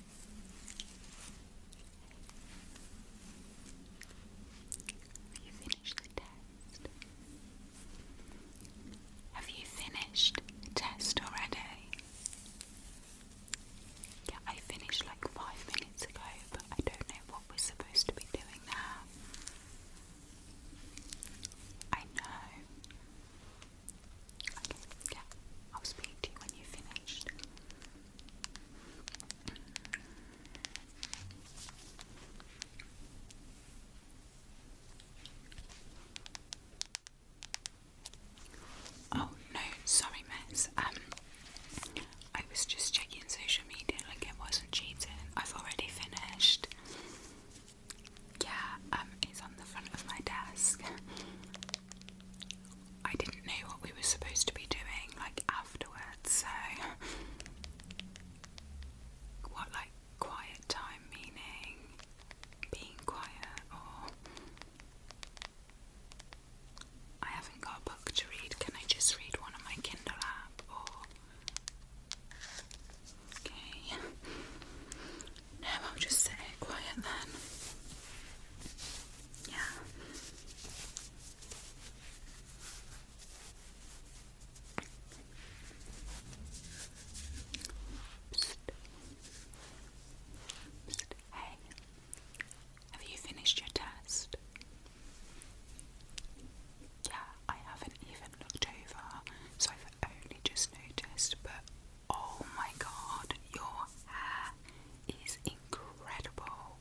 Have you finished the test? Have you finished the test already? Yeah, I finished like five minutes ago, but I don't know what we're supposed to be doing now. I know. Okay, yeah, I'll speak to you when you've finished. Oh no, sorry, Mess. Um, I was just checking social media like it wasn't cheating. I've already finished. Yeah, um, it's on the front of my desk. I didn't know what we were supposed to be doing like afterwards, so what like quiet time meaning being quiet or I haven't got a book to read, can I just read one on my Kindle app Okay. No, I'll just sit quiet then. Yeah. Hey, have you finished your test? Yeah, I haven't even looked over, so I've only just noticed, but Oh my god, your hair is incredible.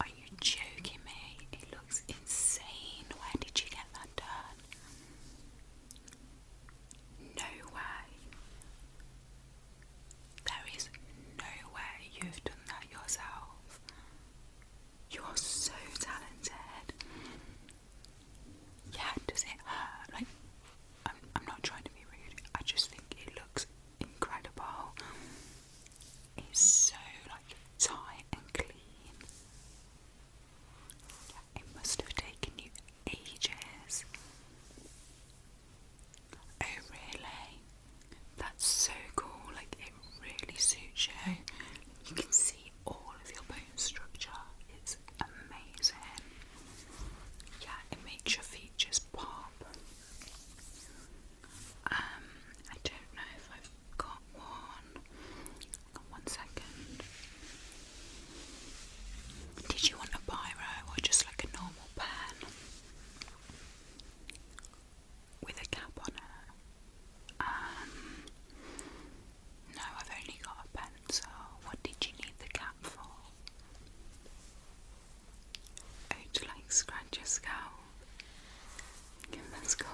Are you joking me? It looks insane. Where did you get that done? No way. There is no way you've done that yourself. You are so talented. Yeah, does it hurt? I'm, I'm not trying to be rude, I just think it looks incredible. It's so like tight and clean. It must have taken you ages. Oh, really? That's so cool. Like, it really suits you. You can see all of your bone structure. It's amazing. Yeah, it makes your features pop. Um, I don't know if I've got one. One second. Did you want a biro or just like a normal pen with a cap on it? Um, no, I've only got a pencil. What did you need the cap for? I'd like scratch your scalp. Okay, let's go.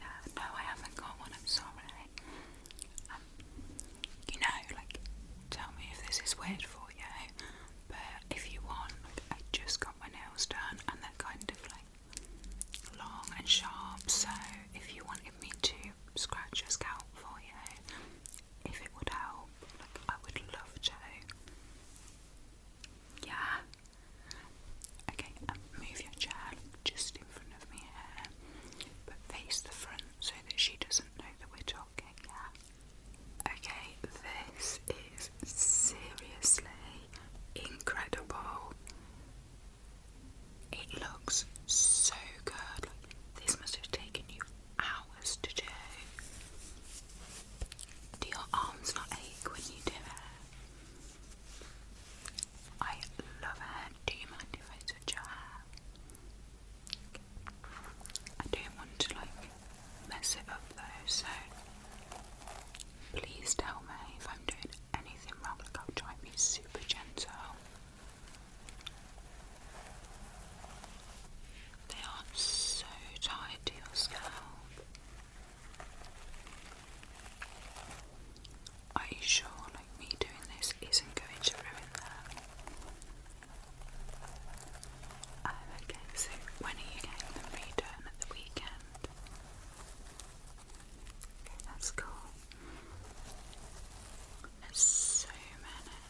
Yeah, no, I haven't got one. I'm sorry. Um, you know, like, tell me if this is weird for you. But if you want, like, I just got my nails done, and they're kind of like long and sharp. So if you wanted me to scratch your scalp for you, if it would help, like I would love to. Yeah. Okay, um, move your chair just in front of me but face the front so that she doesn't know that we're talking. Yeah. Okay, this is seriously incredible. It looks so good. This must have taken you hours to do. Do your arms not ache when you do it? I love it. Do you mind if I touch your hair? I don't want to like mess it up though, so please tell me if I'm doing anything wrong. Like I'll try and be super gentle. They are so tied to your scalp. Are you sure, like me doing this, isn't going to ruin that? Oh, okay, so when are you getting them redone at the weekend? that's cool. There's so many.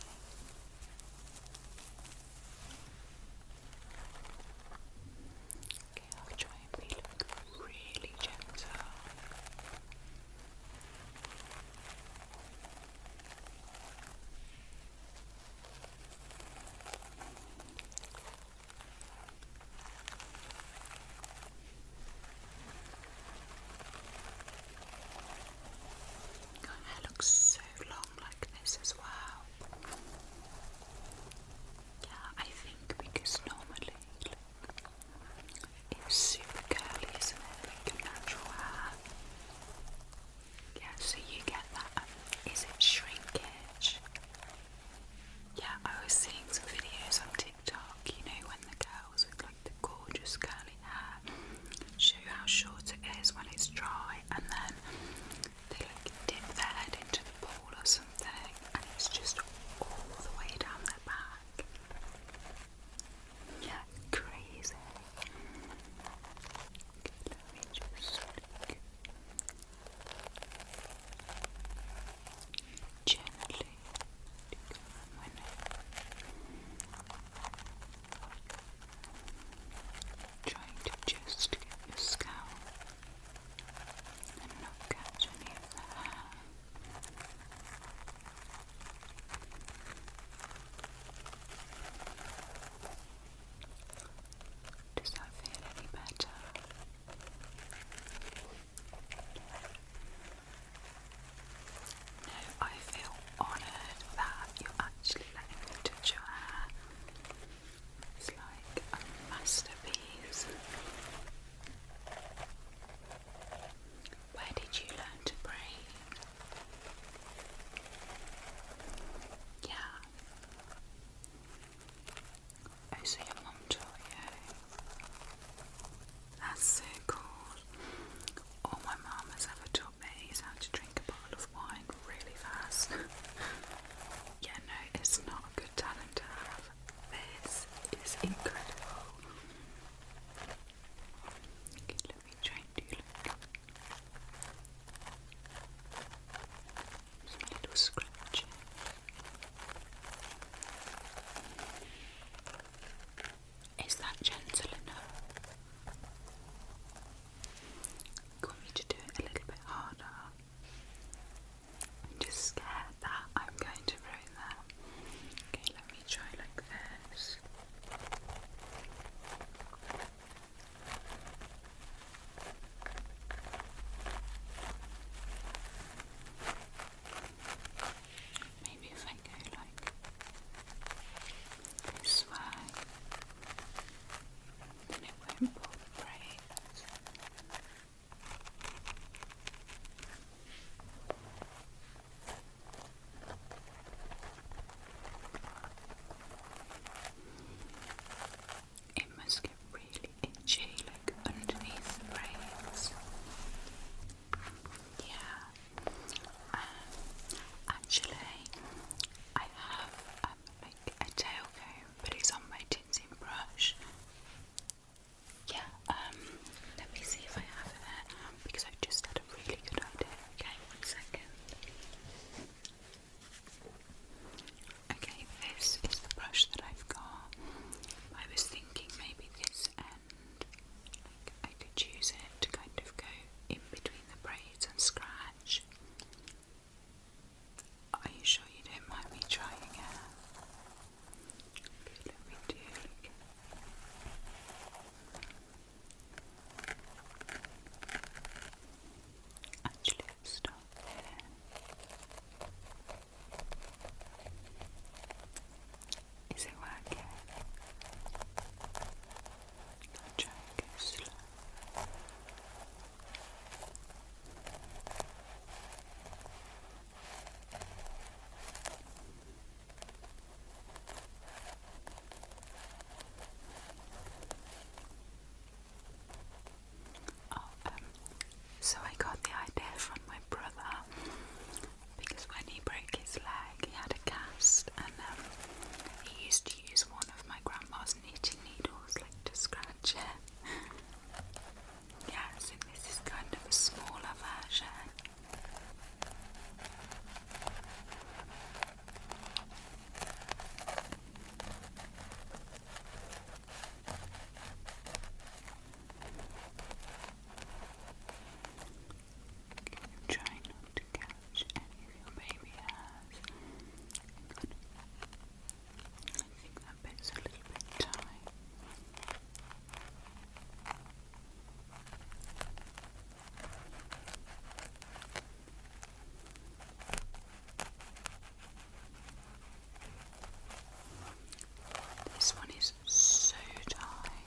Okay, I'll try and be really gentle. Your hair looks so long like this as well. Yeah, I think because normally it's super curly, isn't it? Like natural hair. Yeah, so you get that. Is it shrinkage? Yeah, I was seeing some videos on TikTok, you know, when the girls with the gorgeous curly hair, show you how short it is when it's dry, and then they like dip their head into the pool or something, and it's just all the way down their back. Yeah, crazy. gently. Trying to just get your scalp and not catch any of the Does that feel any better? No, I feel honoured that you're actually letting me touch your hair. It's like a masterpiece. Where did you learn to braid? Yeah. Oh, so your mum taught you. That's so cool. All my mum has ever taught me is how to drink a bottle of wine really fast. yeah, no, it's not a good talent to have. This is incredible. Okay, let me try and do look. little scratching. Is that gentle enough? You want me to do it a little bit harder? I'm just scared that I'm going to ruin that. Okay, let me try like this. Maybe if I go like this way. Then it won't vibrate. It must get really itchy, like underneath the braids. Yeah, um, actually, I have um, like a tail comb, but it's on my tinsel brush. Yeah, um, let me see if I have it because i just had a really good idea. Okay, one second. Okay, this is the brush that I've got. I was thinking maybe this end. I could use it to kind of go in between the braids and scratch. Are you sure you don't mind me trying it? Okay, let me do look. Actually, stop is it working? i slow. Oh, um, so I got the idea from my brother because when he broke his leg, he had a cast, and um, he used to use one of my grandma's knitting needles like to scratch it. yeah, so this is kind of a smaller version. I'm trying not catch any of your baby hairs. I think that bit's a little bit tight. This one is so tight.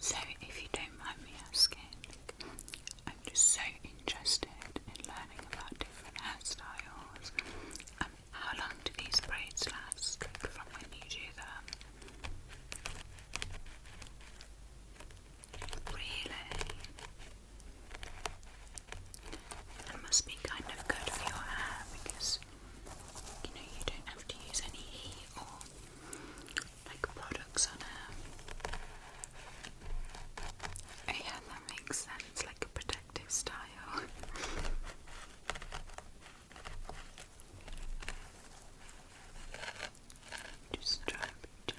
So, if you don't mind me asking, I'm just so interested in learning about different hairstyles. Um, how long do these braids last from when you do them? Really? It must be kind of good for your hair because you know you don't have to use any heat or like products on it. yeah, that makes sense, like a protective style. Just try and be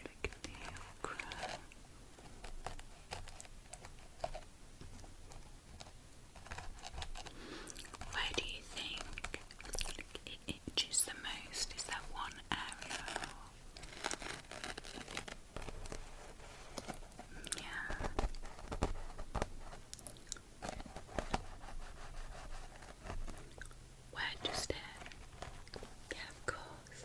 like a nail where do you think it itches the most? Is that one area? Yeah. Where just there? Yeah, of course.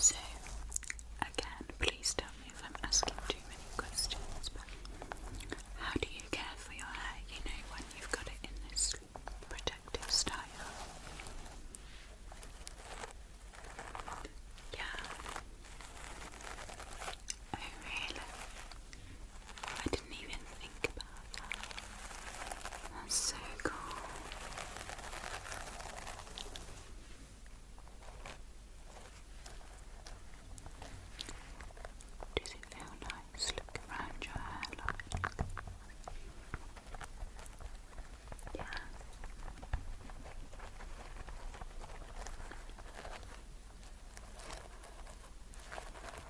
So, again, please tell me if I'm asking too many questions, but how do you care for your hair, you know, when you've got it in this protective style? Yeah. Oh, really? I didn't even think about that. That's so cool. Does it feel nice? Look around your hairline. Yeah.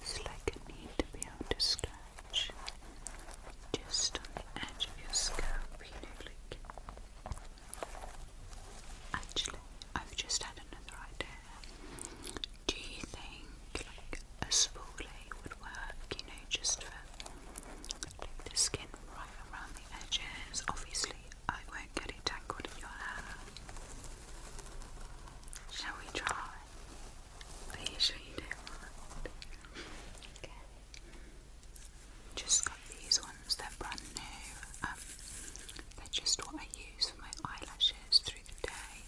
It's like a need to be able to scratch just on the edge of your scalp, you know, like. Actually, I've just had another idea. Do you think like a spoolie would work, you know, just for the skin right around the edges. Obviously, I won't get it tangled in your hair. Shall we try? Are you sure you do Okay. Just got these ones, they're brand new. Um, they're just what I use for my eyelashes through the day.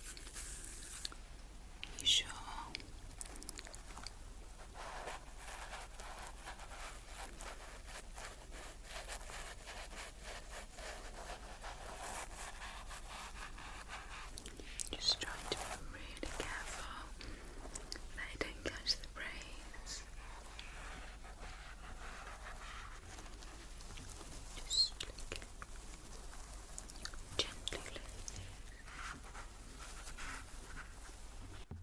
you sure? Just trying to be really careful that don't catch the brains. Just look gently.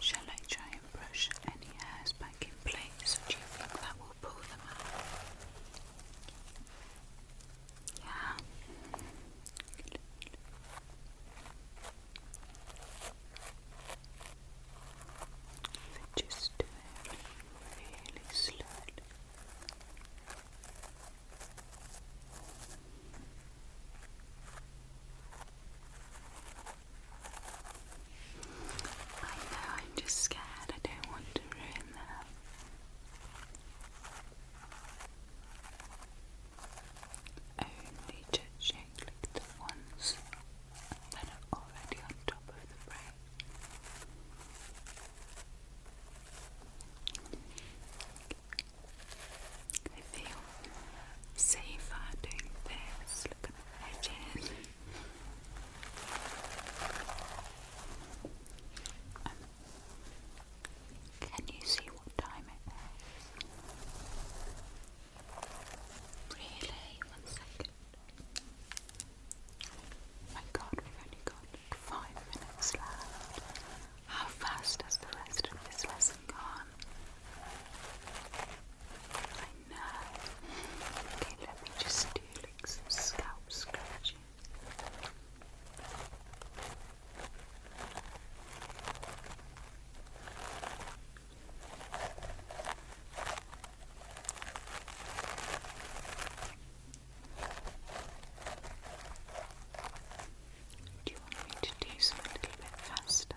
Shall I try and brush any hairs back in place, or do you think that will pull them out? Yeah. just do it really slowly. I know, I'm just scared. I don't want to ruin that. Only touching like the ones that are already on top of the brain. I feel safe doing this. Look at the edges. Um, can you see what time it is? Really? One second. My god, we've only got five minutes left. How fast does the rest of this lesson? I know. Okay, let me just do some scalp scratching. Do you want me to do some a little bit faster?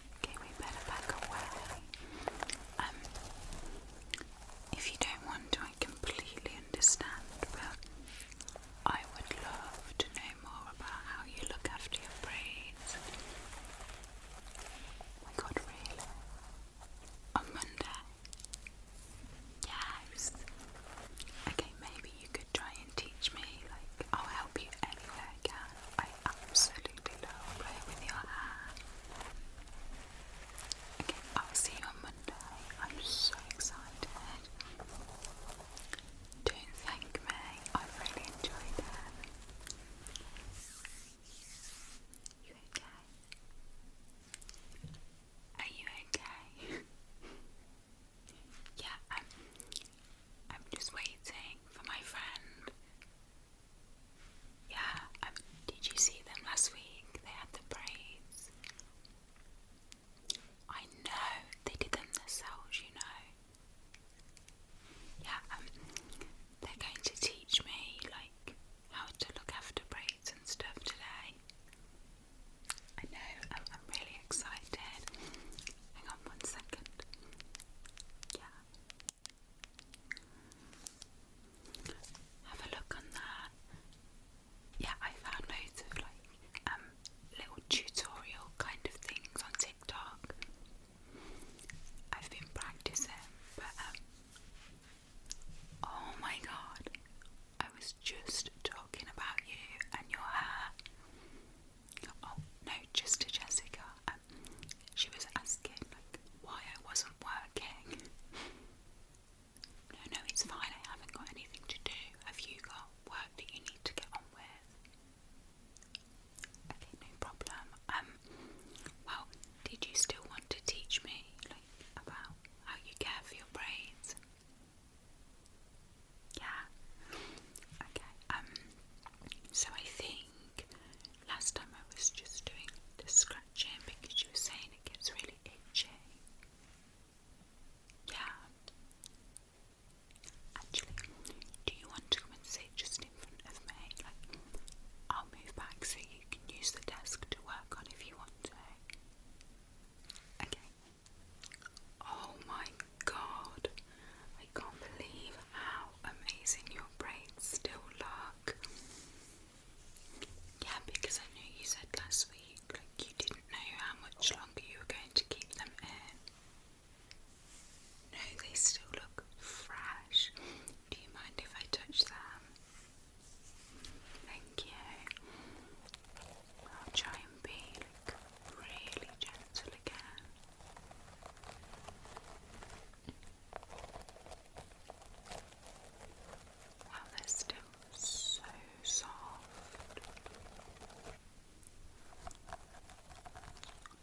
Okay, we better back away. Um, if you don't want to, I completely understand, but I would love to know more about how you look after your braids. Oh my god, really? On Monday? Yes. Okay, maybe you could try and teach me. Like, I'll help you any I can. I absolutely Okay, I'll see you on Monday. I'm so excited. Don't thank me. i really enjoyed it. You okay? Are you okay? yeah, I'm. I'm just waiting for my friend yeah, did you see them last week? They had the braids. I know, they did them themselves, you know. Yeah, um, they're going to teach me, like, how to look after braids and stuff today. I know, I'm really excited. Hang on one second. Yeah. Have a look on there. Yeah, I found loads of like um, little tutorial kind of things on TikTok. I've been practicing, but um, oh my god, I was just talking about you and your hair. Oh no, just to Jessica. Um, she was asking like why I wasn't working. No, no, it's fine. I haven't got anything to do. Have you got work that you need to get on with? Okay, no problem. Um, well, did you still want to teach me like about how you care for your braids? Yeah. Okay. Um. So I think Last time I was just doing the scratching because you were saying it gets really itchy. Yeah. Actually, do you want to come and sit just in front of me? Like, I'll move back so you can use the desk to work on if you want to. Okay. Oh my god. I can't believe how amazing your braids still look. Yeah, because I know you said last week like you didn't know how much longer you were going to keep them in. No, they still look fresh. Do you mind if I touch them? Thank you. I'll try and be really gentle again. Wow, they're still so soft.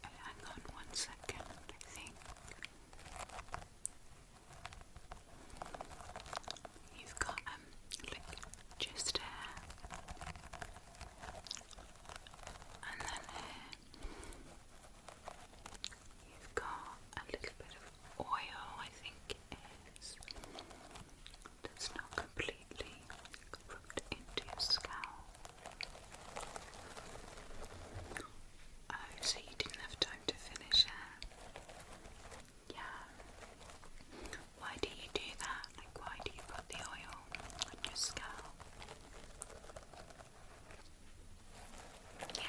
Hang on one second, I think. You've got um just here and then You've got a little bit of oil, I think it is, not completely rubbed into your scalp. Oh, so you didn't have time to finish it? Yeah. Why do you do that? Like, why do you put the oil on your scalp? Yeah.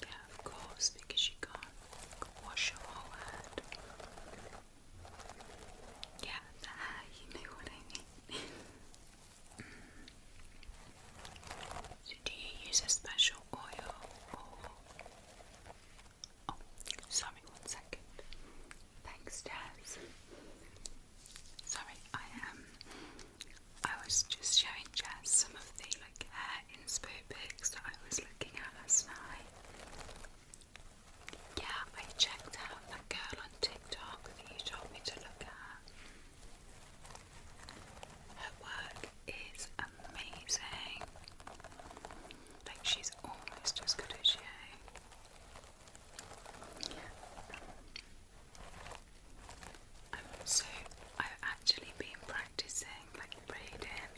Yeah, of course, because you can wash your whole Yeah, you know what I mean. so, do you use a special oil Oh, sorry, one second. Thanks, Dad. Sorry, I Um, I was just showing Jess some of the like hair inspo pics that I was looking at last night. Yeah, I checked out that girl on TikTok that you told me to look at. Her work is amazing. Like she's almost as good as you so I've actually been practicing like braiding.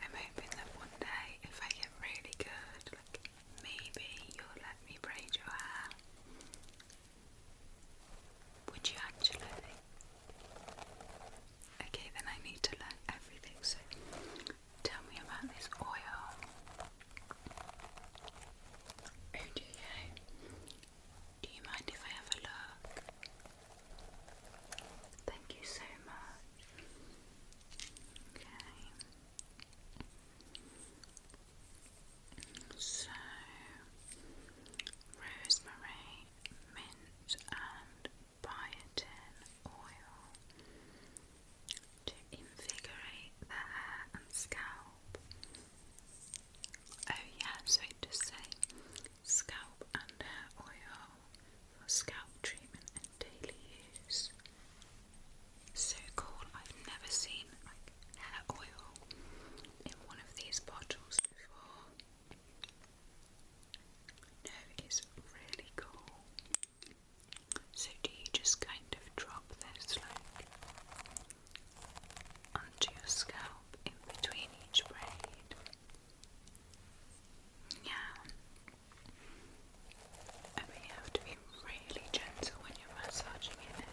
I'm hoping that one day, if I get really good, like maybe you'll let me braid your hair. Would you actually? Okay, then I need to learn everything. So Tell me about this oil. Oh, do you? mind if I have a look? Thank you so much. Okay. So, rosemary, mint, and biotin oil to invigorate the hair and scalp. Oh, yeah, so it does say scalp and hair oil for scalp treatment and daily use. So cool, I've never seen like hair oil in one of these bottles before. No, it's really cool. So do you just kind of drop this like onto your scalp in between each braid? Yeah. I mean, have to be really gentle when you're massaging it.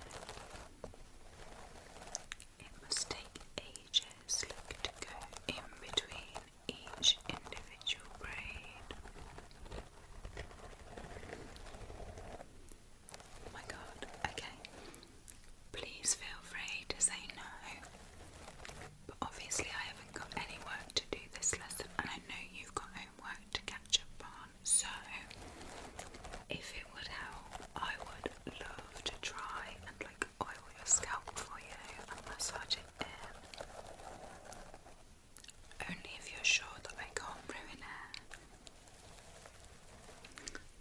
It must take ages, look, to go in between each individual braid. Oh my god, okay. Please feel free to say no. But obviously, I haven't got any work to do this lesson, and I know you've got homework to catch up on. So, if it would help, I would love to try and like oil your scalp for you and massage it in. Only if you're sure that I can't ruin it.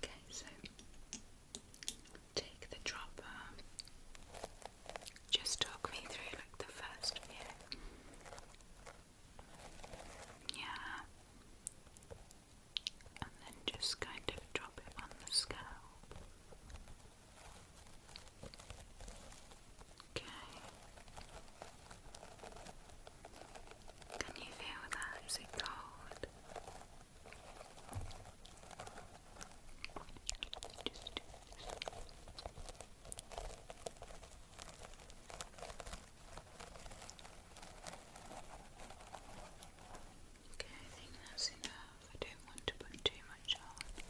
Okay, so take the dropper. Just talk me through like the first few. Yeah. And then just kind of drop it on the scalp. Okay. Can you feel that? Is it cold? Okay, I think that's enough. I don't want to put too much on.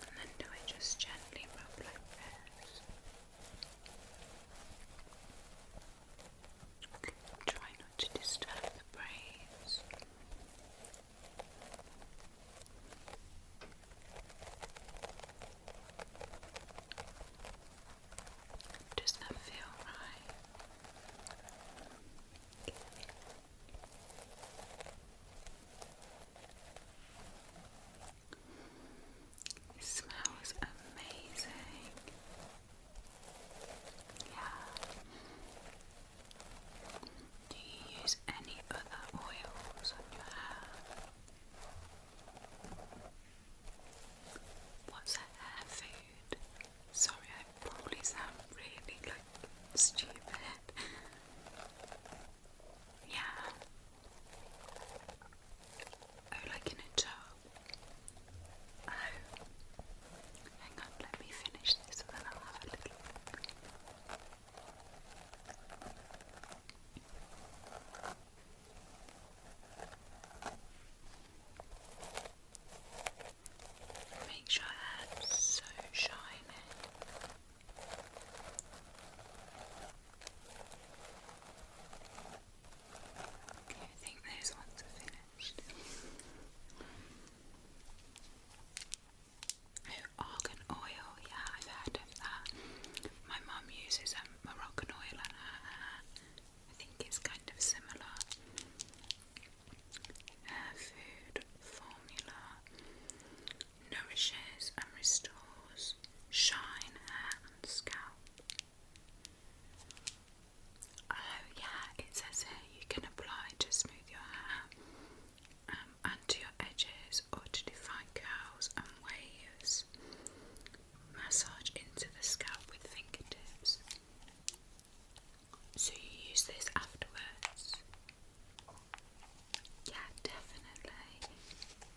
And then do it just gently rub like this. try not to disturb the braids. Does that feel right? It smells amazing. Yeah. Do you use any other oils on your hair? What's a hair food? Sorry, I probably sound really like stupid. Yeah. Oh, like in a tub. Oh. Hang on, let me finish this and then I'll have a little look. Makes your hair so shiny. I think those ones are finished. Oh, oil, yeah, I've heard of that. My mum uses a um, Moroccan oil on her hair. I think it's kind of similar. food formula nourishes and restores shine, hair, and scalp. Oh, yeah, it says here you can apply to smooth your hair um, and your edges or to define curls and waves. Massage into the scalp with fingertips. So you use this afterwards. Yeah, definitely.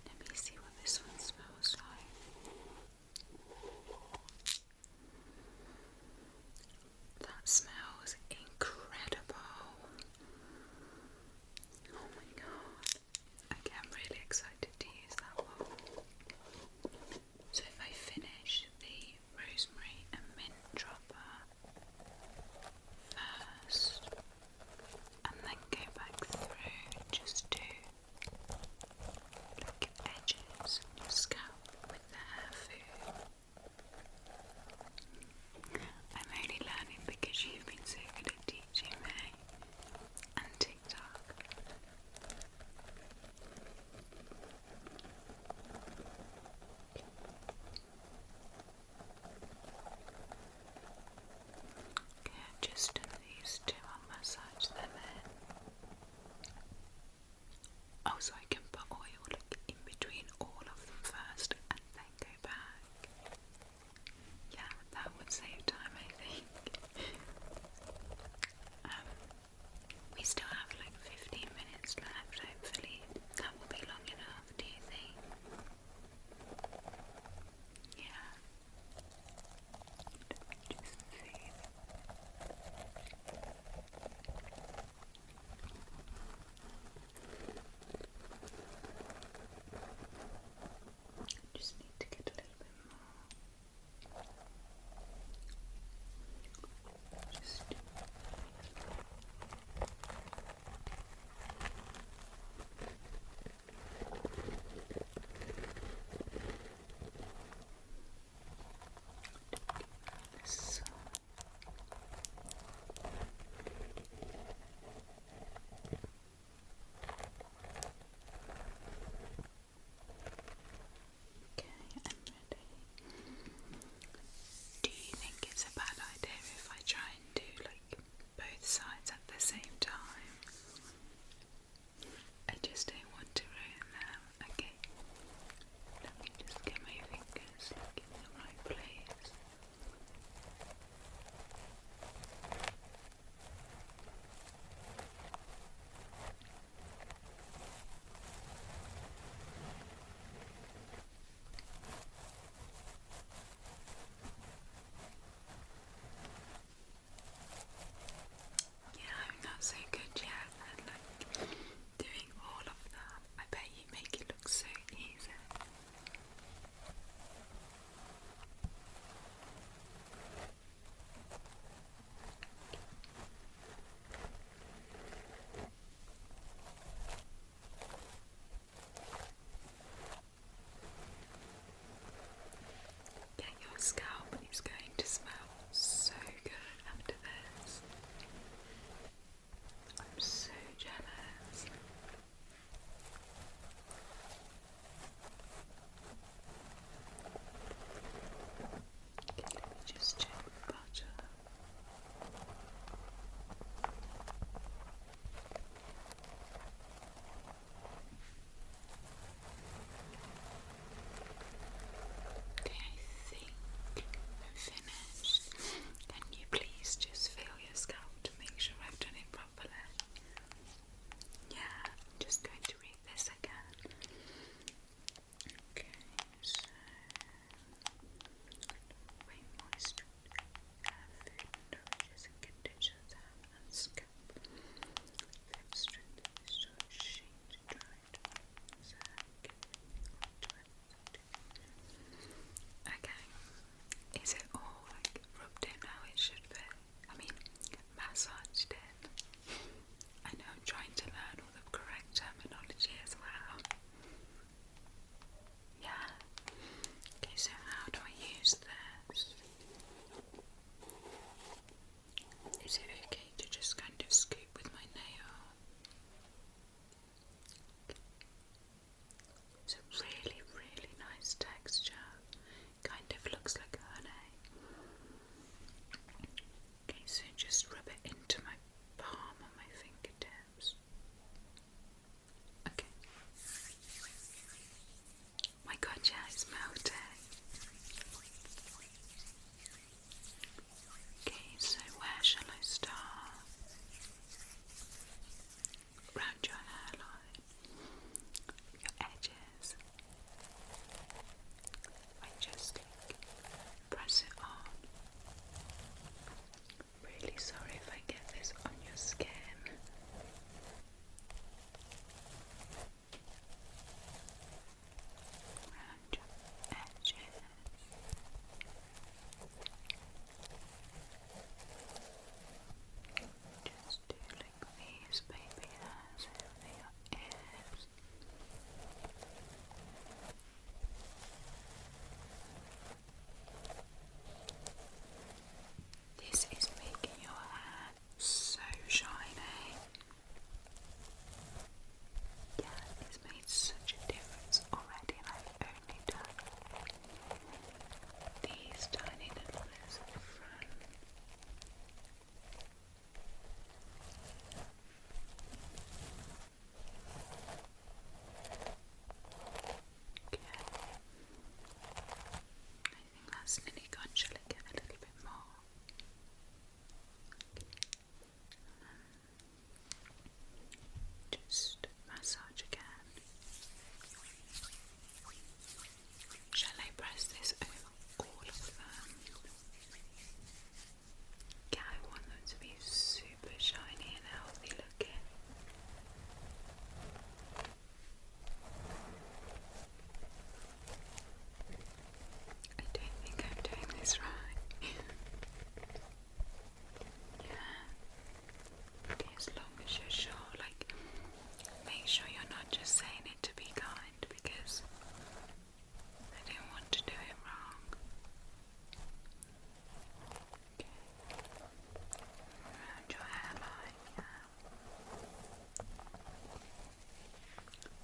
Let me see what this one smells like. That smells incredible. Oh my god. Okay, I'm really excited to use that one. So, if I finish the rosemary and mint dropper, first and then go back through just to look edges and your scalp with the hair food. I'm only learning because you've been so good at teaching me and TikTok. Okay, just these two, I'll massage them in. Oh, so I can put oil like, in between all of them first and then go back. Yeah, that would save time, I think. Um, we still have like 15 minutes left, hopefully. That will be long enough off, do you think? Yeah. just need to get a little bit more. Just so. Okay, I'm ready. Do you think it's a bad idea if I try do like both sides at the same time. I just don't want to ruin them. Okay, let me just get my fingers like, in the right place. Yeah, I'm not so good yet at like doing all of that. I bet you make it look so easy. Yeah, your scalp is going to smell so good after this. I'm so jealous. Okay, let me just check the bottom. Okay, I think I'm finished. Can you please just feel your scalp to make sure I've done it properly? Yeah, I'm just going to read this again. Okay, so. Wait, moisture is Okay, is it all like rubbed in how it should be? I mean, massaged in. I know I'm trying to learn all the correct terminology as well. Yeah. Okay, so how do I use this? Is it okay to just kind of scoop with my nail? It's a really, really nice texture. Kind of looks like honey. Okay, so just rub it into my palm on my fingertips. Okay. My god, yeah, it's melting. Okay, so where shall I start? Round your hairline, your edges. I just press it on really sorry if I get this on your skin. Round edges. Just do these baby hairs over your ears. This is making your hair so shiny. Yeah, it's made such a difference already, and only done these tiny little bits at Okay. I think that's get a little bit more? just massage again. Shall I press this over all of them? Yeah, I want them to be super shiny and healthy look I don't think I'm doing this right. yeah. as long as you're sure. Like, make sure you're not just saying it to be kind because I don't want to do it wrong. Around your hairline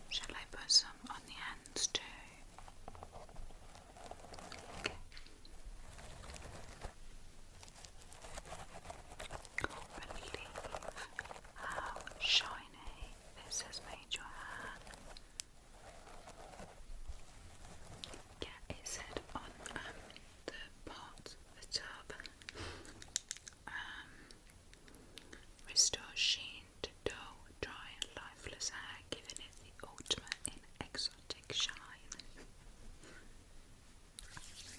Shall I put some on the hands too? Okay. how shiny this has made your hair. Yeah, it on um, the part of the turban. Um, dull, dry, lifeless hair, giving it the ultimate in exotic shine.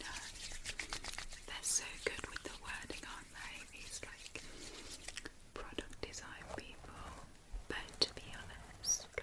no, they're so good with the wording, aren't they? These like product design people. But to be honest,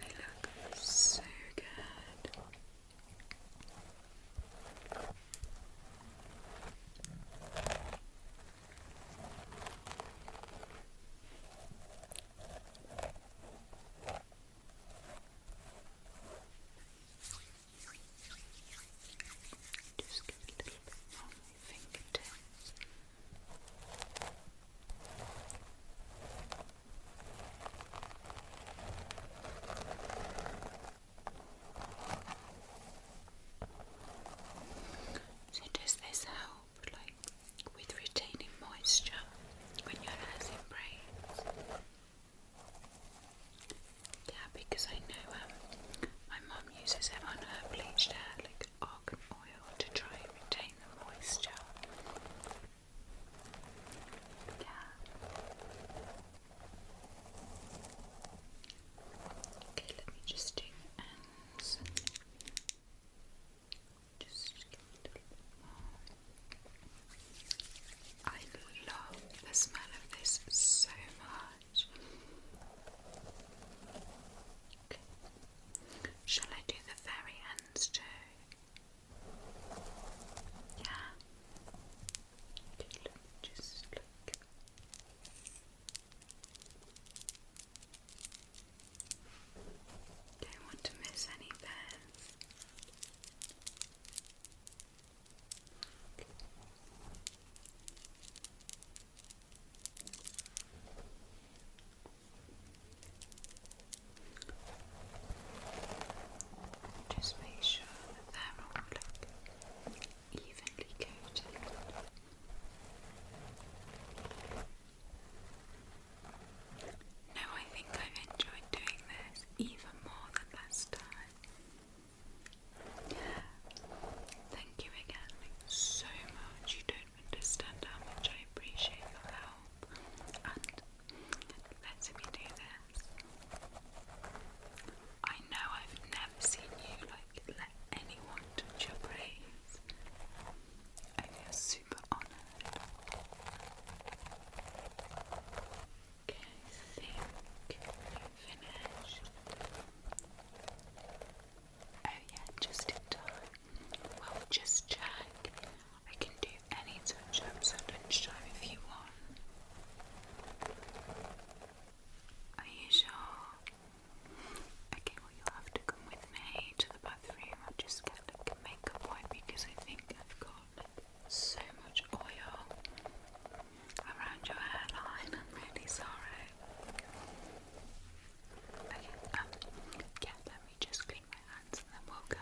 They look so good. Right. Just get a little bit on my fingertips. So does this help? like with retaining moisture when your hair's in braids. Yeah, because I know um, my mum uses it on her bleached hair, like argan oil, to try and retain the moisture. Yeah. Okay, let me just do ends. I love the smell of this so much. Shall I do the fairy hands too? Yeah. just look. Don't want to miss any pairs. Just make sure they're all evenly coated. No, I think I've enjoyed doing this even more than last time. Thank you again so much. You don't understand how much I appreciate your help and letting me do this. I know I've never seen you like let anyone touch your braids. I feel so super honoured. Okay, I we're Oh yeah, just in time. Well, just check. I can do any touch-ups at lunchtime if you want. Are you sure? Okay, well you'll have to come with me to the I'm just gonna like, make a point because I think I've got so much oil around your hairline. I'm really sorry. Okay, um, yeah, let me just clean my hands and then we'll go.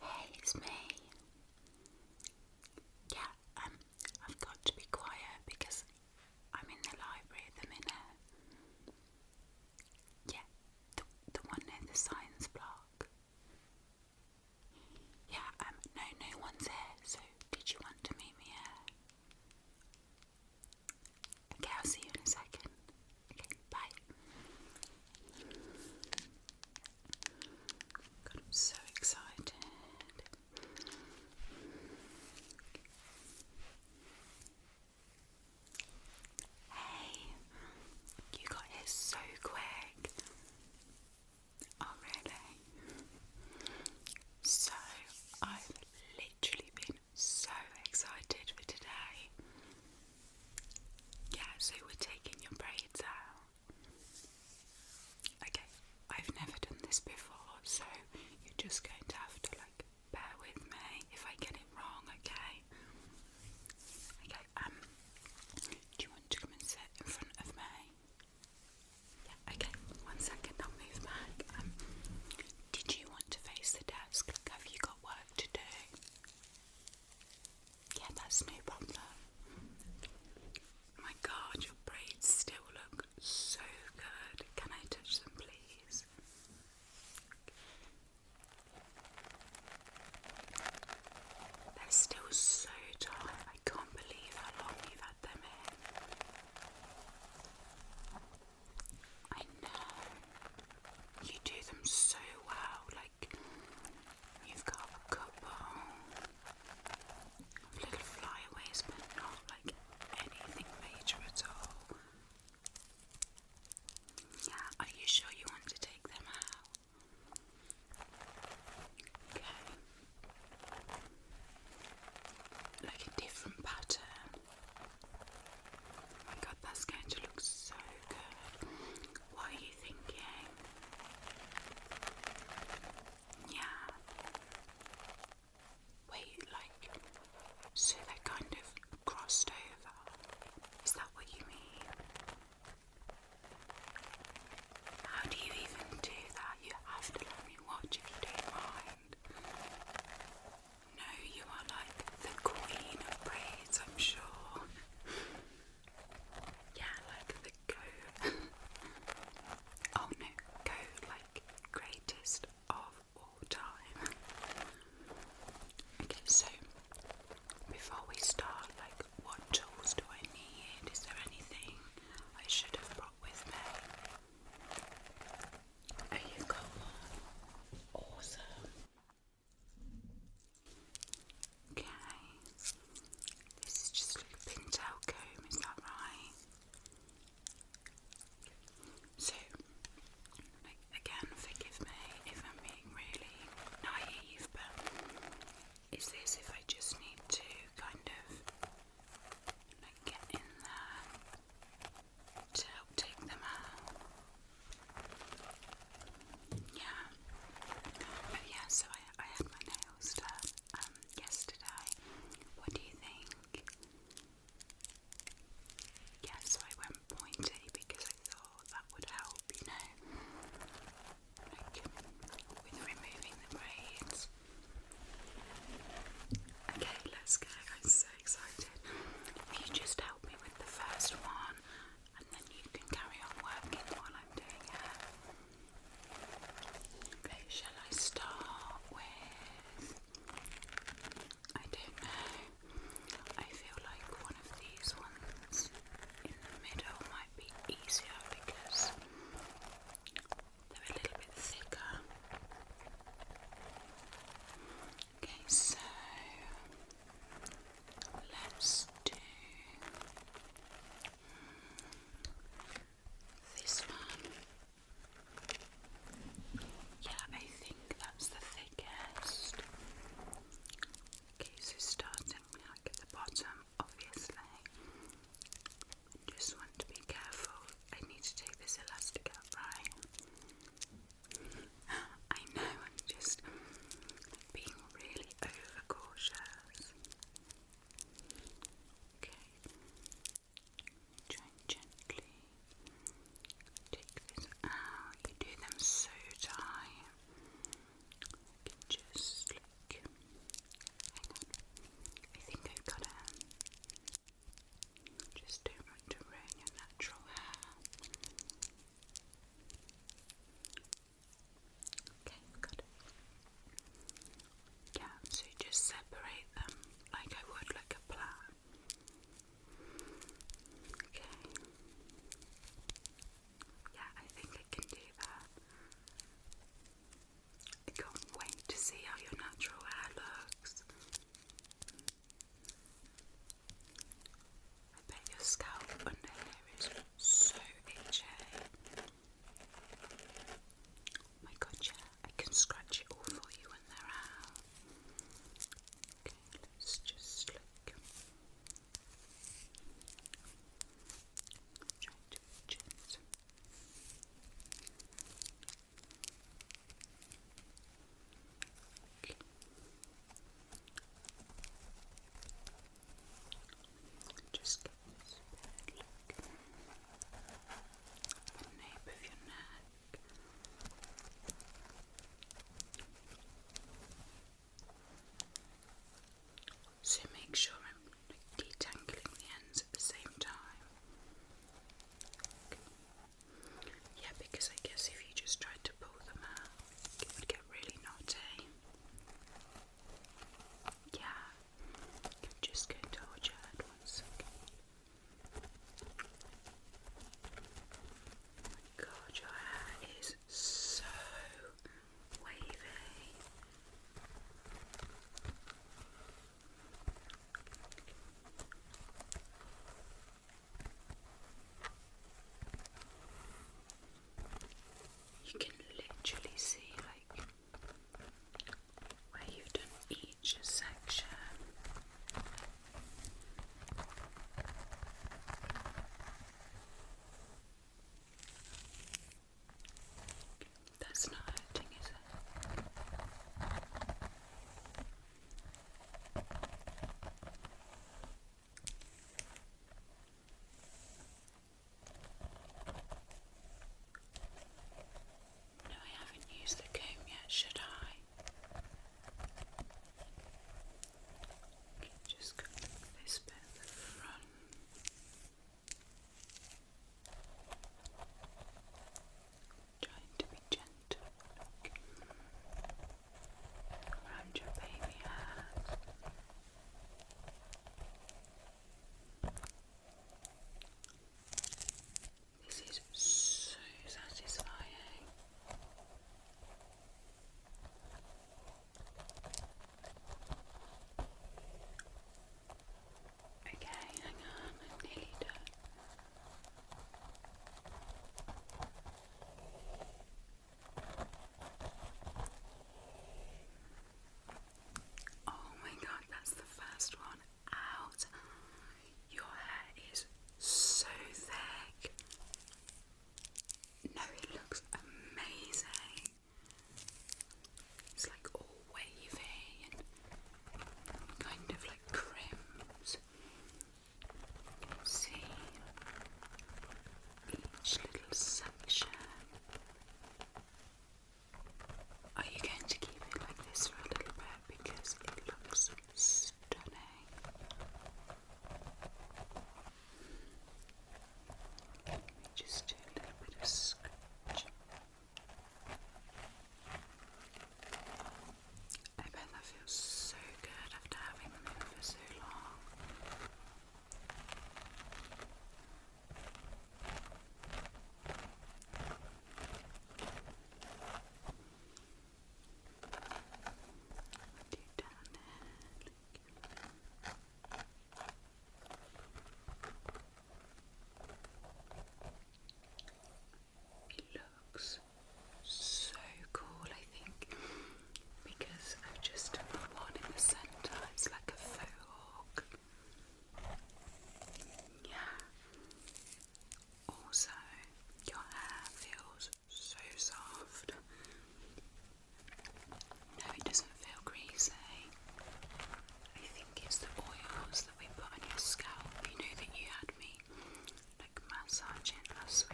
Hey, it's me. Yeah, um, I've got to be quiet because I'm in the library the minute. Yeah, the, the one near the science block. Yeah, um, no, no one's here, so did you want to meet me here? Okay, I'll see you in a second. Okay, bye. so excited. Hey, you got here so quick. Oh, really? So, I've literally been so excited for today. Yeah, so we're taking your braids out. Okay, I've never done this before, so you're just going to have to like bear with me if I get it wrong, okay? Okay, um, do you want to come and sit in front of me? Yeah, okay, one second, I'll move back. Um, did you want to face the desk? have you got work to do? Yeah, that's no problem. My God, your braids still look so good. Can I touch them, please? They're still so tight. I can't believe how long you've had them in. I know you do them so well. Like you've got a couple of little flyaways, but not like anything major at all. Yeah, are you sure you want to take them out? Okay. Like a different pattern. Oh my god, that's going to look so good. What are you thinking? Yeah. Wait, like, so they kind of crossed over. Is that what you mean? How do you even do that? You have to let me watch you don't no, you are like the queen of braids, I'm sure. yeah, like the go. oh no, go like greatest of all time. okay, so before we start, like what tools do I need? Is there anything I should have brought with me? Oh, you've Awesome. Okay. This is just like a pintail comb, is that right? So, like, again, forgive me if I'm being really naive, but is this if I just need to kind of like get in there to help take them out? Yeah. yeah, so I I had my nails done um, yesterday. What do you think? Yeah, so I went pointy because I thought that would help, you know. Like with removing the braids. Okay, let's go. I'm so excited. If you just help me with the first one, and then you can carry on working while I'm doing it. shall I start with? I don't know. I feel like one of these ones in the middle might be easier because they're a little bit thicker. Okay, so let's do this one. Yeah, I think that's the thickest. Okay, so starting like at the bottom, obviously. Just want to be careful. I need to take this elastic out, right? I know I'm just being really overcautious. Okay. Try gently take this out. You do them so tight. just look. Hang on. I think I've got it. Just don't want to ruin your natural hair. Okay, Yeah, so you just separate them like I would like a plat. Okay. Yeah, I think I can do that. I can't wait to see how your natural hair looks. I bet your scalp under here is so itchy. Oh my god, yeah, I can scratch it all for you when they're out. Okay, let's just look. Try to be just give this a bad look the nape of your neck. So make sure I'm detangling the ends at the same time. Yeah, because I guess if you just tried to pull them out, it would get really naughty. Yeah, just going to orchard one second. Oh my god, your hair is so wavy. You can literally see like where you've done each section. That's not hurting, is it? No, I haven't used the comb yet, should I? Just go this bit at the front. Trying to be gentle around your baby head. This is so satisfying. Okay, hang on, I'm nearly done. Oh my god, that's the first one out. Your hair is so thick. No, it looks amazing. It's like all wavy and kind of like crims see each little section. Are you going to keep it like this for a little bit because it looks stunning? Let me just do a little bit of scratching. I bet that feels so good after having them in for so long. down there. looks so cool, I think, because i just one in the centre, it's like a faux Yeah. Also, your hair feels so soft. No, it doesn't feel greasy. I think it's the oils that we put on your scalp. You know that you had me like massaging last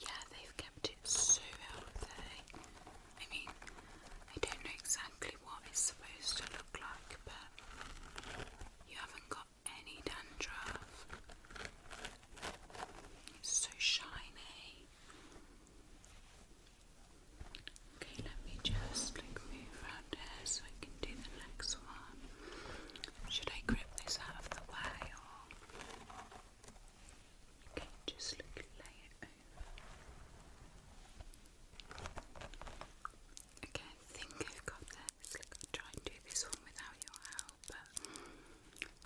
Yeah, they've kept it so healthy. I mean, I don't know exactly what it's supposed to look like, but you haven't got any dandruff. It's so shiny. Okay, let me just move around here so I can do the next one. Should I grip this out of the way or just lay it over? Okay, I think I've got this. try and do this one without your help, but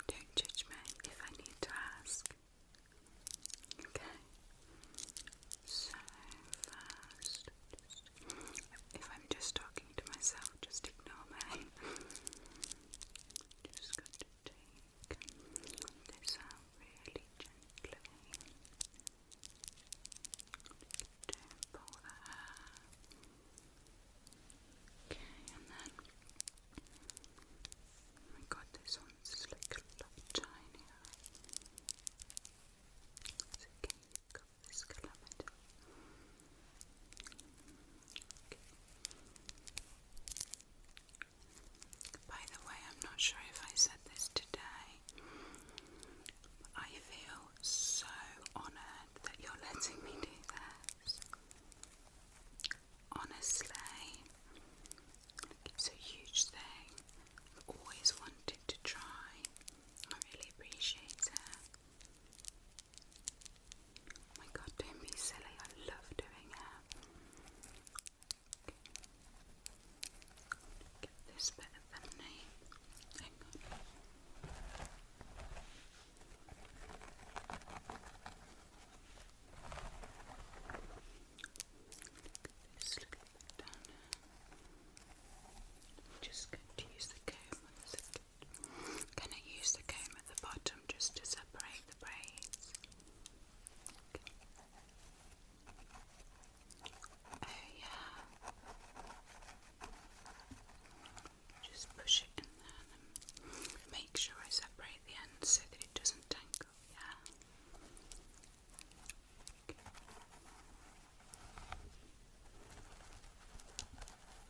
don't judge me if I need to ask. Okay, so first, if I'm just talking to myself, just ignore me. just going to take this out really gently. Don't pull the hair. Okay, and then oh my god, this one's like a lot tinier. It's okay, you got by the way, I'm not sure if I said this today. I feel so honoured that you're letting me do this. Honestly, it's a huge thing. I've always wanted to try. I really appreciate it. Oh my god, don't be silly, I love doing hair. Get this bit of the name. Hang on. Get this down. i just going to use the comb going to use the comb at the bottom just to separate the braids. Oh, yeah. Just push it in there make sure I separate the ends so that it doesn't tangle. Yeah.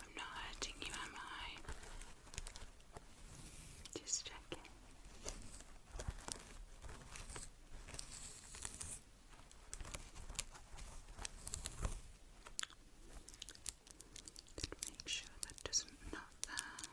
I'm not hurting you, am I? Just checking. Make sure that doesn't not there.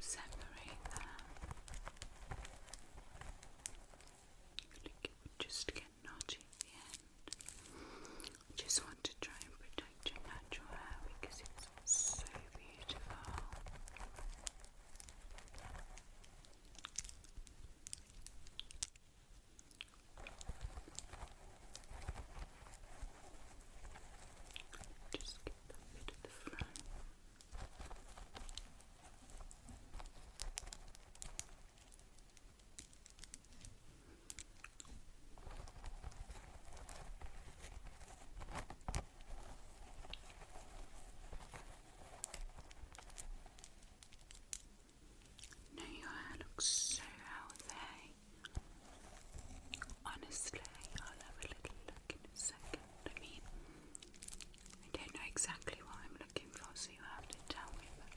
separate them. Like it just get knotty at the end. just want to try and protect your natural hair because it's so beautiful. Just get that bit at the front. No, your hair looks so healthy. Honestly, I'll have a little look in a second know what I mean? I don't know exactly what I'm looking for, so you have to tell me. But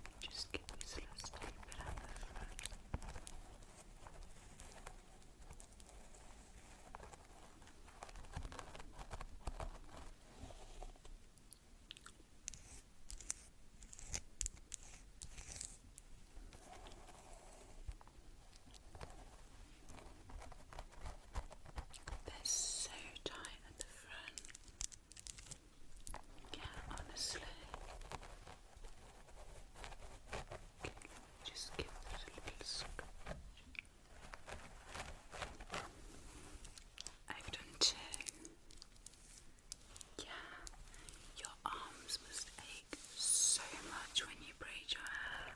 let me just get this last little bit out the front. Okay. They're so tight at the front. Yeah, honestly. Just give it a little scratch. I've done two. Yeah, your arms must ache like so much when you braid your hair.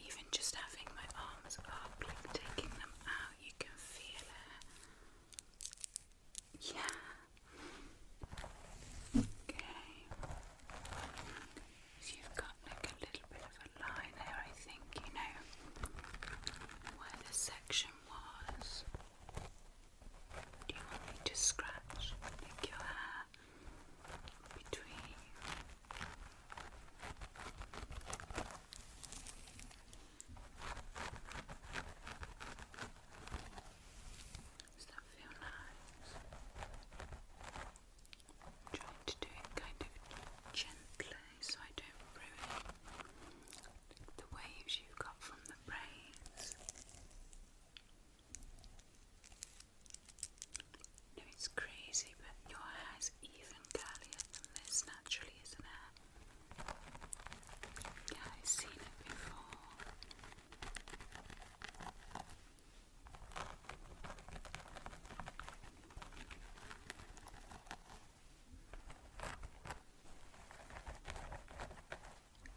Even just having my arms up, taking them out, you can feel it. Yeah. Okay. So you've got like a little bit of a line there, I think, you know, where the section was. Do you want me to scratch like your hair between? Does that feel nice? trying to do it kind of gently so I don't ruin the waves you got from the braids. No, it's crazy, but your hair is even curlier than this naturally, isn't it? Yeah, I've seen it before.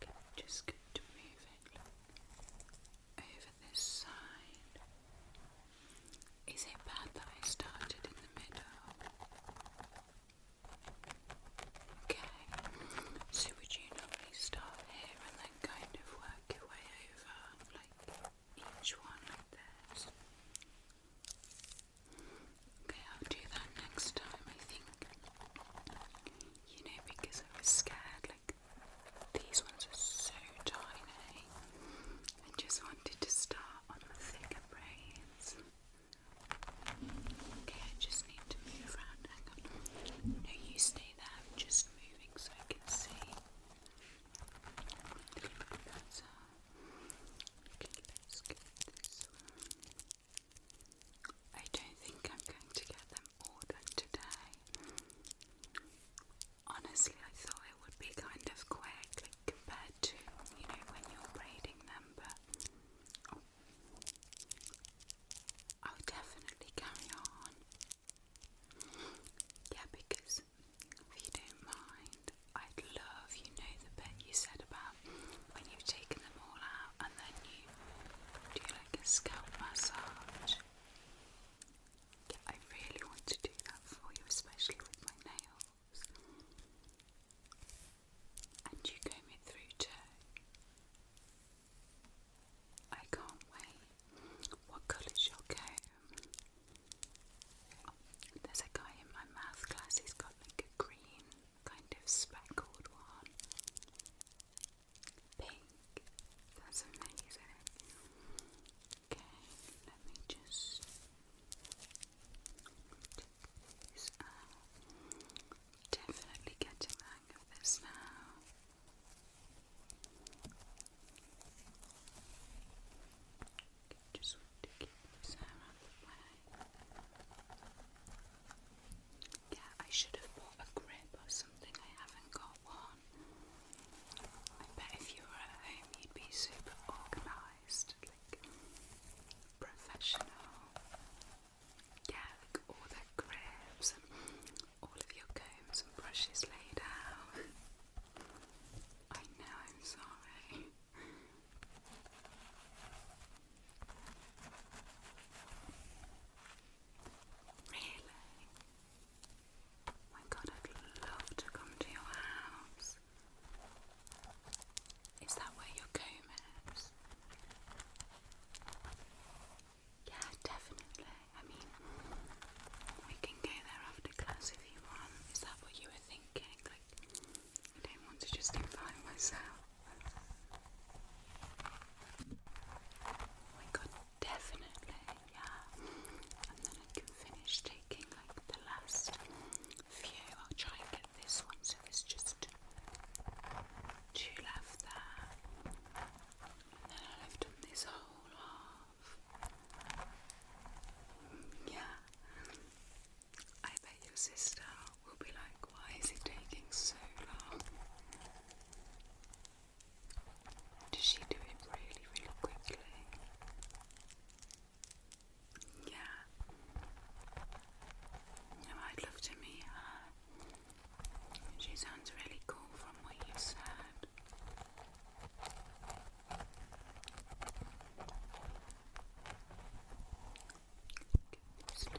Okay, just going to move over this side. Is it bad that I started in the middle? Okay, so would you normally start here and then kind of work your way over, like each one like this? Okay, I'll do that next time, I think. You know, because I was scared like these ones are so tiny. I just wanted to start on the thicker braids. Okay, I just need to move around. Hang on. No, you stay there. I'm just moving so I can see. Uh, okay, I don't think I'm going to get them ordered today. Honestly, I thought it would be kind of quick like, compared to, you know, when you're braiding them, but oh, I'll definitely carry on. Yeah, because if you don't mind, I'd love, you know, the bit you said about when you've taken them all out and then you do you like a scalp massage? I really want to do that for you, especially with my nails. And you comb it through too. I can't wait. What colour shall comb? Oh, there's a guy in my math class, he's got like a green kind of speckled one pink. That's Okay, let me just Definitely getting the hang of this now. just to keep this hair out of the way. Yeah, I should have bought a grip or something. I haven't got one. I bet if you were at home, you'd be super organised, like professional. Yeah, like all the grips and all of your combs and brushes laid out. I know, I'm sorry. Really? My god, I'd love to come to your house. Is that where your comb is? Yeah, definitely. I mean, we can go there after class if you want. Is that what you were thinking? Like, I don't want to just invite myself. We oh could definitely, yeah. And then I can finish taking the last few. I'll try and get this one so there's just two left there. And then i have done this whole half. Yeah. I bet your sister will be like, why is it taking so long? Does she do it really, really quickly? Yeah. I'd love to meet her. She sounds really cool from what you said.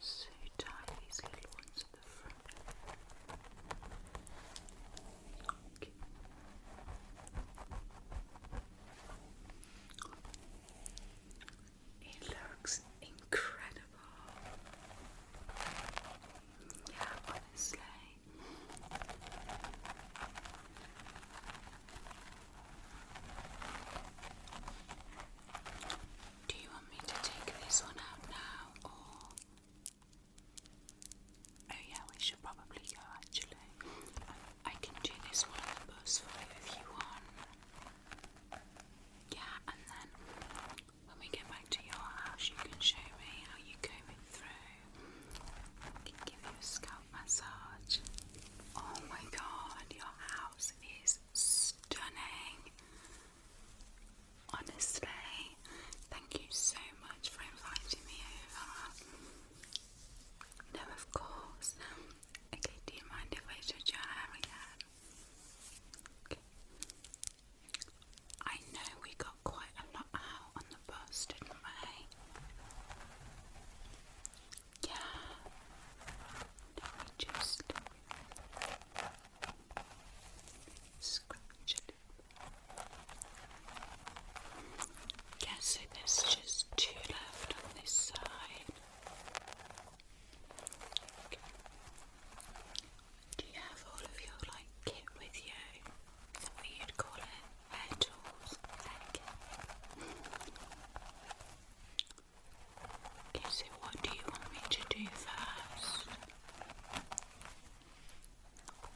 So tie these little ones at the front. It looks incredible. Yeah, honestly. Do you want me to take this one out now or? Oh, yeah, we should probably go actually. I can do this one for you if you want. Yeah, and then when we get back to your house, you can show me how you comb it through. I can give you a scalp massage. Oh my god, your house is stunning. Honestly, thank you so much for inviting me over. No, of course. Okay, do you mind if I touch your hair again? I know we got got quite a lot out on the bus, didn't we? Yeah. Let me just scratch it. Yeah, there's just two left on this side. Do you have all of your like kit with you? Is you'd call it? Hair Okay, so what do you want me to do first?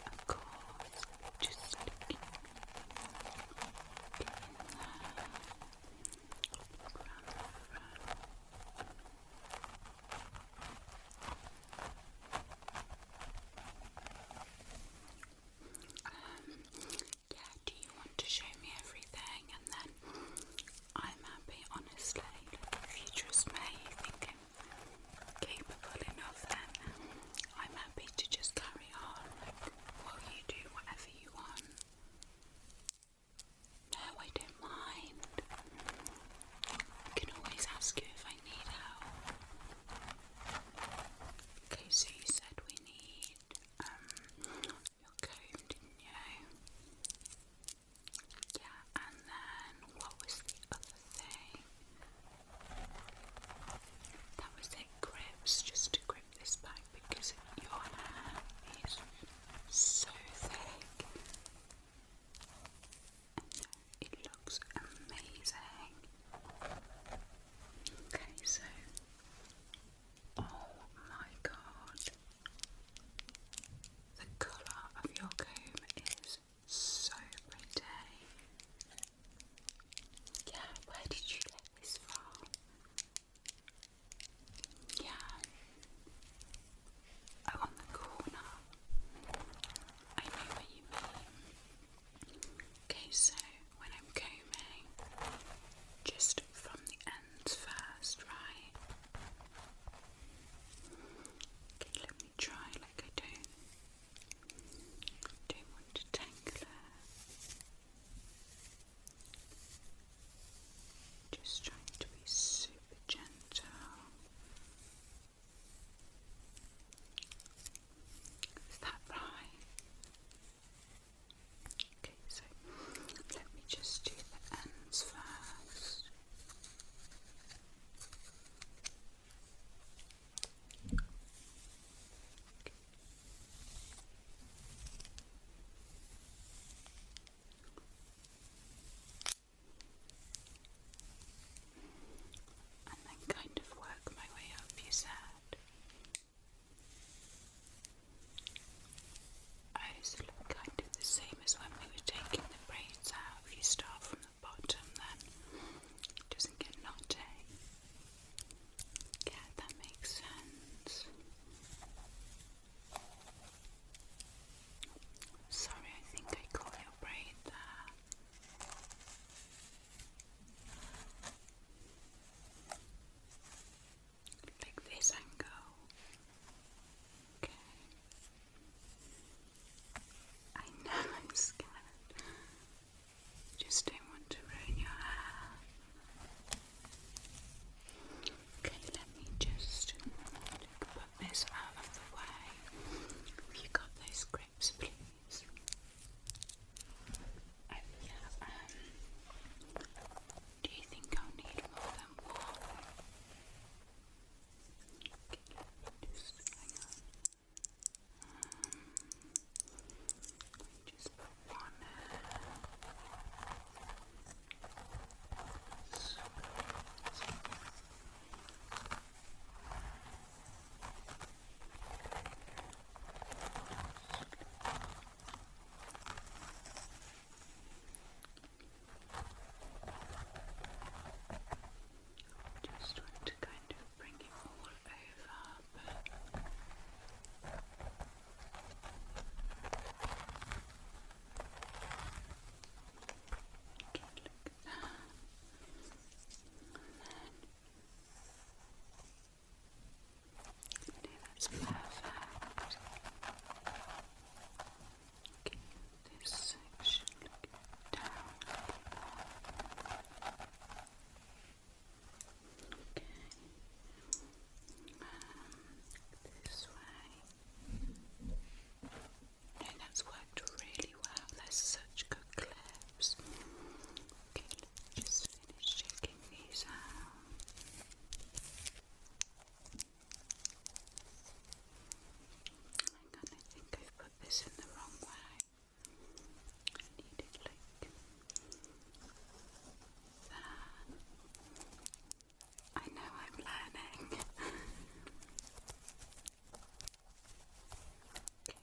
Of course, just looking in there um, yeah, do you want to show me everything? And then I'm happy, honestly. If you trust me, you think I'm capable enough, then I'm happy to just carry on. Like, while you do whatever you want. No, I don't mind. I can always ask you if I need help. Okay, so you said we need um your comb, Yeah, and then what was the other thing? That was it, grips, just to grip this back because your hair is so thick. It looks amazing. Okay, so oh my god, the colour of your comb is so pretty. Yeah, where did you get this from? Yeah. Oh, on the corner. I know what you mean. Okay, so when I'm combing, just from the ends first, right? Okay, let me try like I don't don't Just trying to be super gentle. Is that right? Okay, so let me just do the ends first and then kind of work my way up, you said. Oh, so kind of the same as when we were taking the braids out. If you start from the bottom, then doesn't get knotty. Yeah, that makes sense. Sorry, I think I caught your braid there. Like this and go. Okay. I know I'm scared. Just don't want to ruin your hair. Okay, let me just put this out of the way. you got those grapes, um, do you think I'll need more than one? just one just want to kind of bring it all over, And then Okay, that's perfect. Okay, this section down. Okay. this way. No, um, that's worked really well. they such good clips. Okay, just finishing these out. Hang on, I think I've put this in the wrong way. I need it like that. I know I'm learning.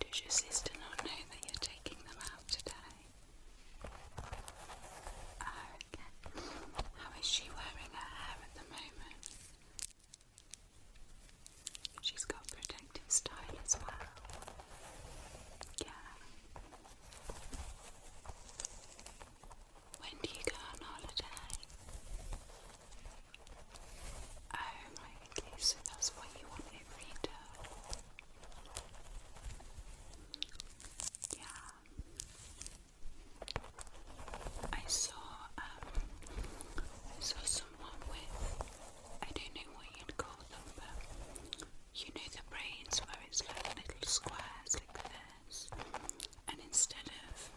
Does your sister not know that you're taking them out today? Ah, How is she wearing her hair at the moment? She's got protective style as well. Yeah. When do you go on holiday? Oh, Okay, so that's what you want me to read Yeah. I saw, um, I saw someone with, I don't know what you'd call them, but you know the brains where it's like little squares like this, and instead of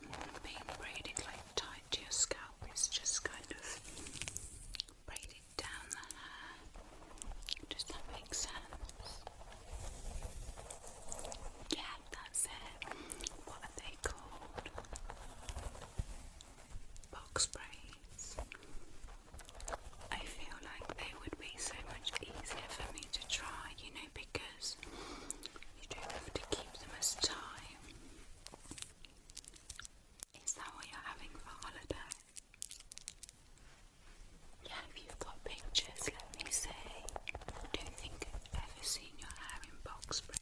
being braided like tight to your scalp, it's just kind of braided down the Does that make sense? Yeah, that's it. What are they called? Box braids. I feel like they would be so much easier for me to try, you know, because you don't have to keep them as tight. Is that what you're having for holiday? Yeah, if you've got pictures, let me see. don't think I've ever seen your hair in box braids.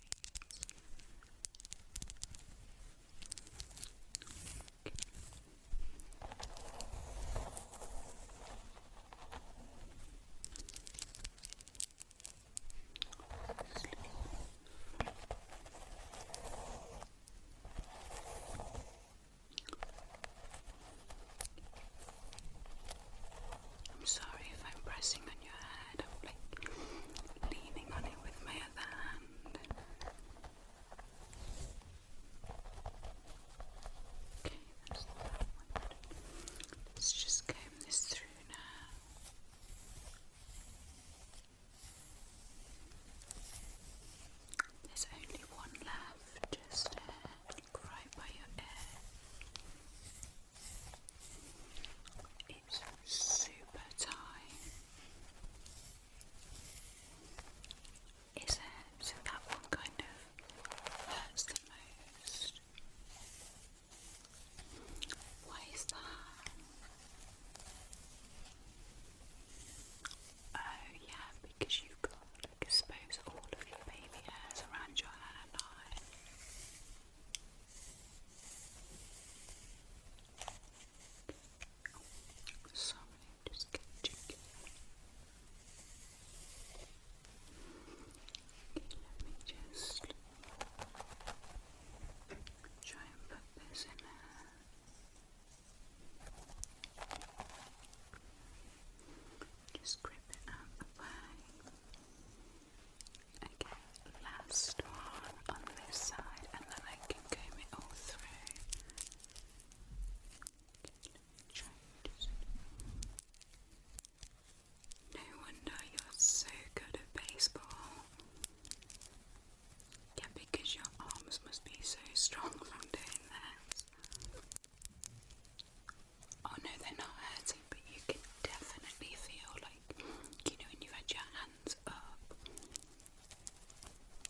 I'm sorry if I'm pressing on your head, I'm like leaning on it with my other hand. Okay, Let's just comb this through now. There's only one left, just ahead, right by your ear. It's super tight. Is it? So that one kind of hurts the most. Why is that? Oh yeah, because you've got to expose all of your baby hairs around your head and eye. sorry, just catching Okay, let me just try and put this in there. Just grip it out Okay, last one on this side, and then I can comb it all through. No wonder you're so good at baseball. Yeah, because your arms must be so strong from doing this. Oh no, they're not hurting, but you can definitely feel like, you know, when you've had your hands up.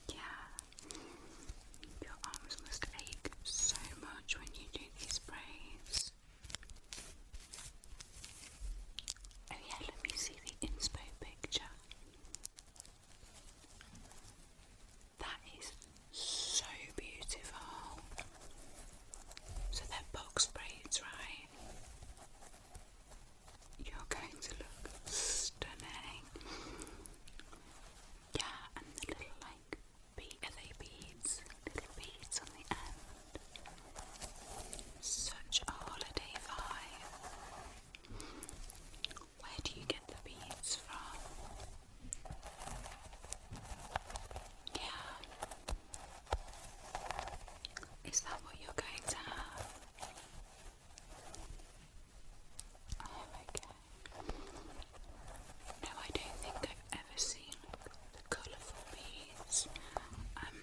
Yeah. Your arms must ache so much when you do these sprays. Oh yeah, let me see the inspo picture. That is so beautiful. So they box braids, right? You're going to look stunning. Yeah, and the little like bead, beads? Little beads on the end. Such a holiday vibe. Where do you get the beads from? Yeah. Is that what you're going to have? Oh, okay. No, I don't think I've ever seen colourful beads. Um,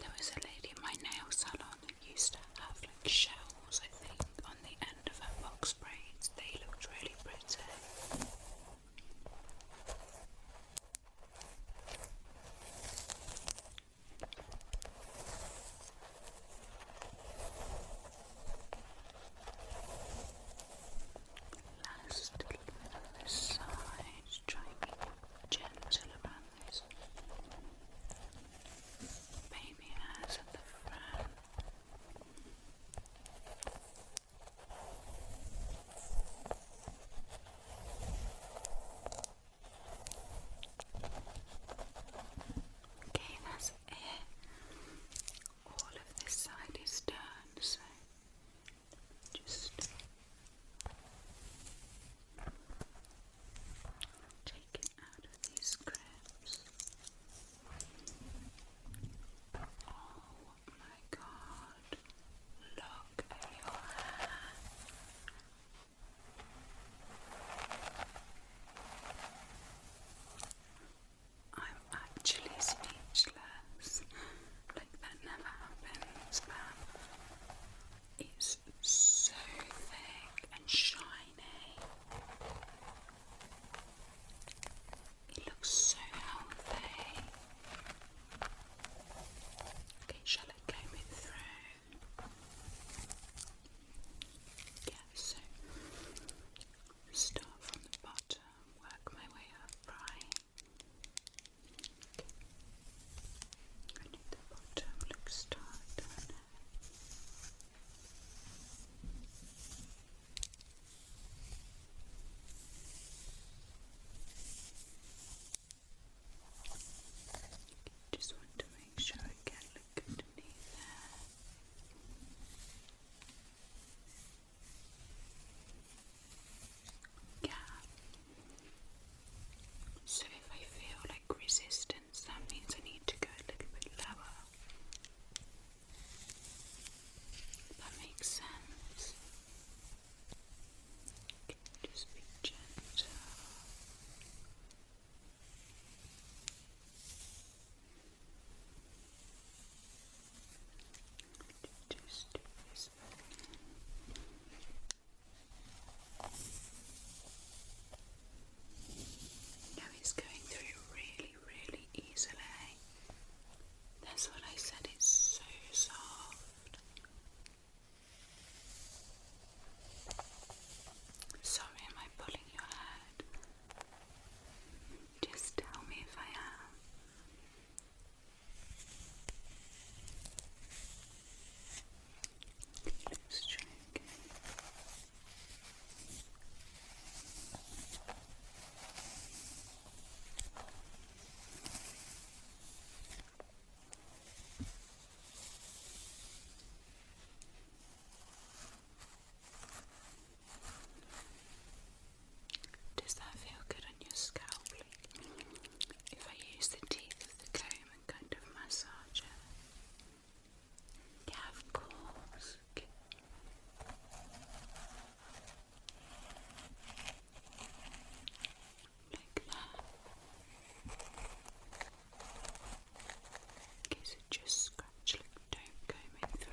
there was a lady in my nail salon that used to have like shells, I think, on the end of her box braids. They looked really pretty. Last little side, trying to be Baby eyes at the front. Okay, that's it. All of this side is done, so just take it out of these scripts. Oh my god, look at your hair. I'm actually speechless. Like that never happens, but so thick and shiny. It looks so healthy. Okay, shall I comb it through? Yeah, so start from the bottom, work my way up, right? I need the bottom looks tight on Just want to make sure I can look underneath there. Yeah. So if I feel like resisting distance, that means I need to go a little bit lower. That makes sense. just be gentle. Just do this. Now it's going through really, really easily. That's what I said, it's so soft. Sorry, am I pulling your head? Just tell me if I am. Let's try again. Does that feel good on your scalp? If I use the teeth of the comb and kind of massage it. Yeah, of course. Like that. Okay, so just scratch, like don't comb it through.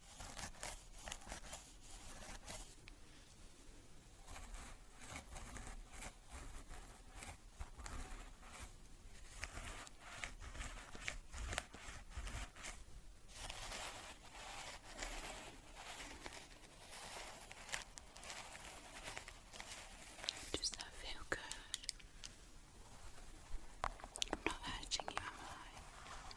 Does that feel good? I'm not hurting you, am I?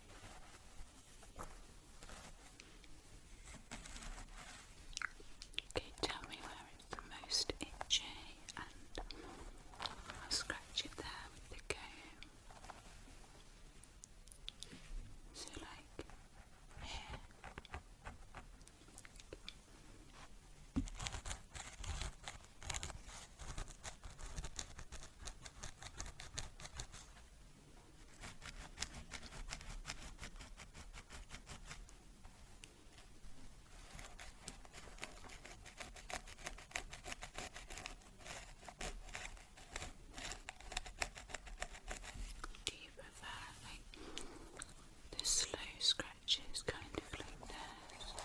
Okay, tell me where it's the most itchy, and I'll scratch it there with the comb. So, like do you prefer like the slow scratches kind of like this?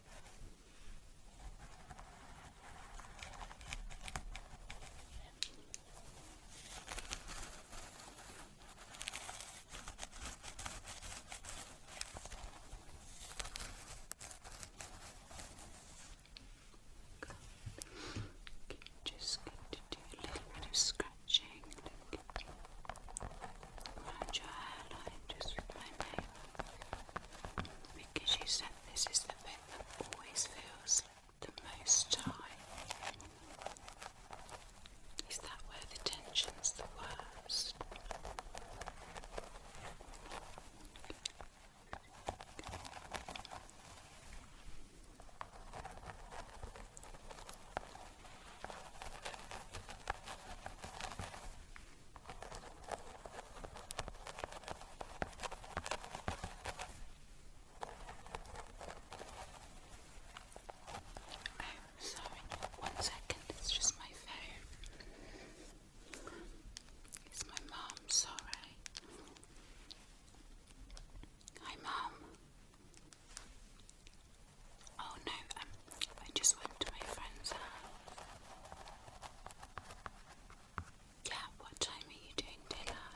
Okay, just going to do a little bit of scratching. Around your hairline, just with my nail, because you said this is the bit that always feels the most tight. Is that where the tension's the worst? I'm sorry, one second, it's just my phone. It's my mom, sorry. Hi, mom. Oh no, um, I just went to my friend's house yeah, what time are you doing dinner?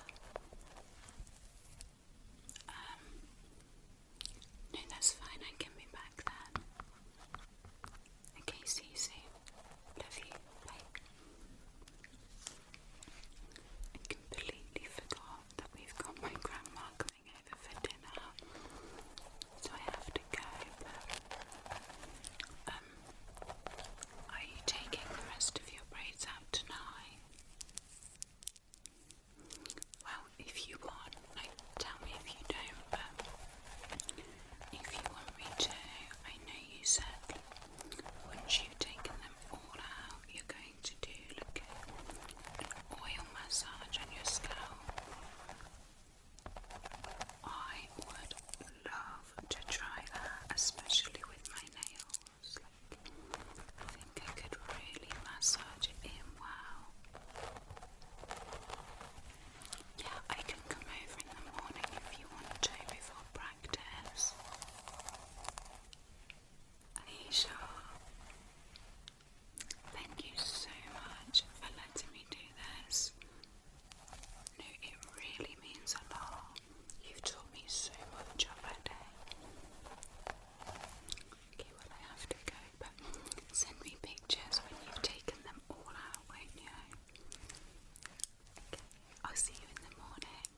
Um, no, that's fine, I can be back then. Okay, see you soon. Love you. Bye. I completely forgot that we've got my grandma coming over for dinner, so I have to go, are you taking the rest of your braids out tonight? Well, if you want, like, tell me if you don't, but if you want me to, I know you said once you've them all out, you're going to do like oil massage on your scalp. I would love to try that, especially with my nails. Like, I think I could really massage it in. Yeah, I can come over in the morning if you want to before practice. Aisha, thank you so much for letting me do this. No, it really means a lot. You've taught me so much on that Okay, well, I have to go, but send me pictures when you've taken them all out, Okay, I'll see you in the morning.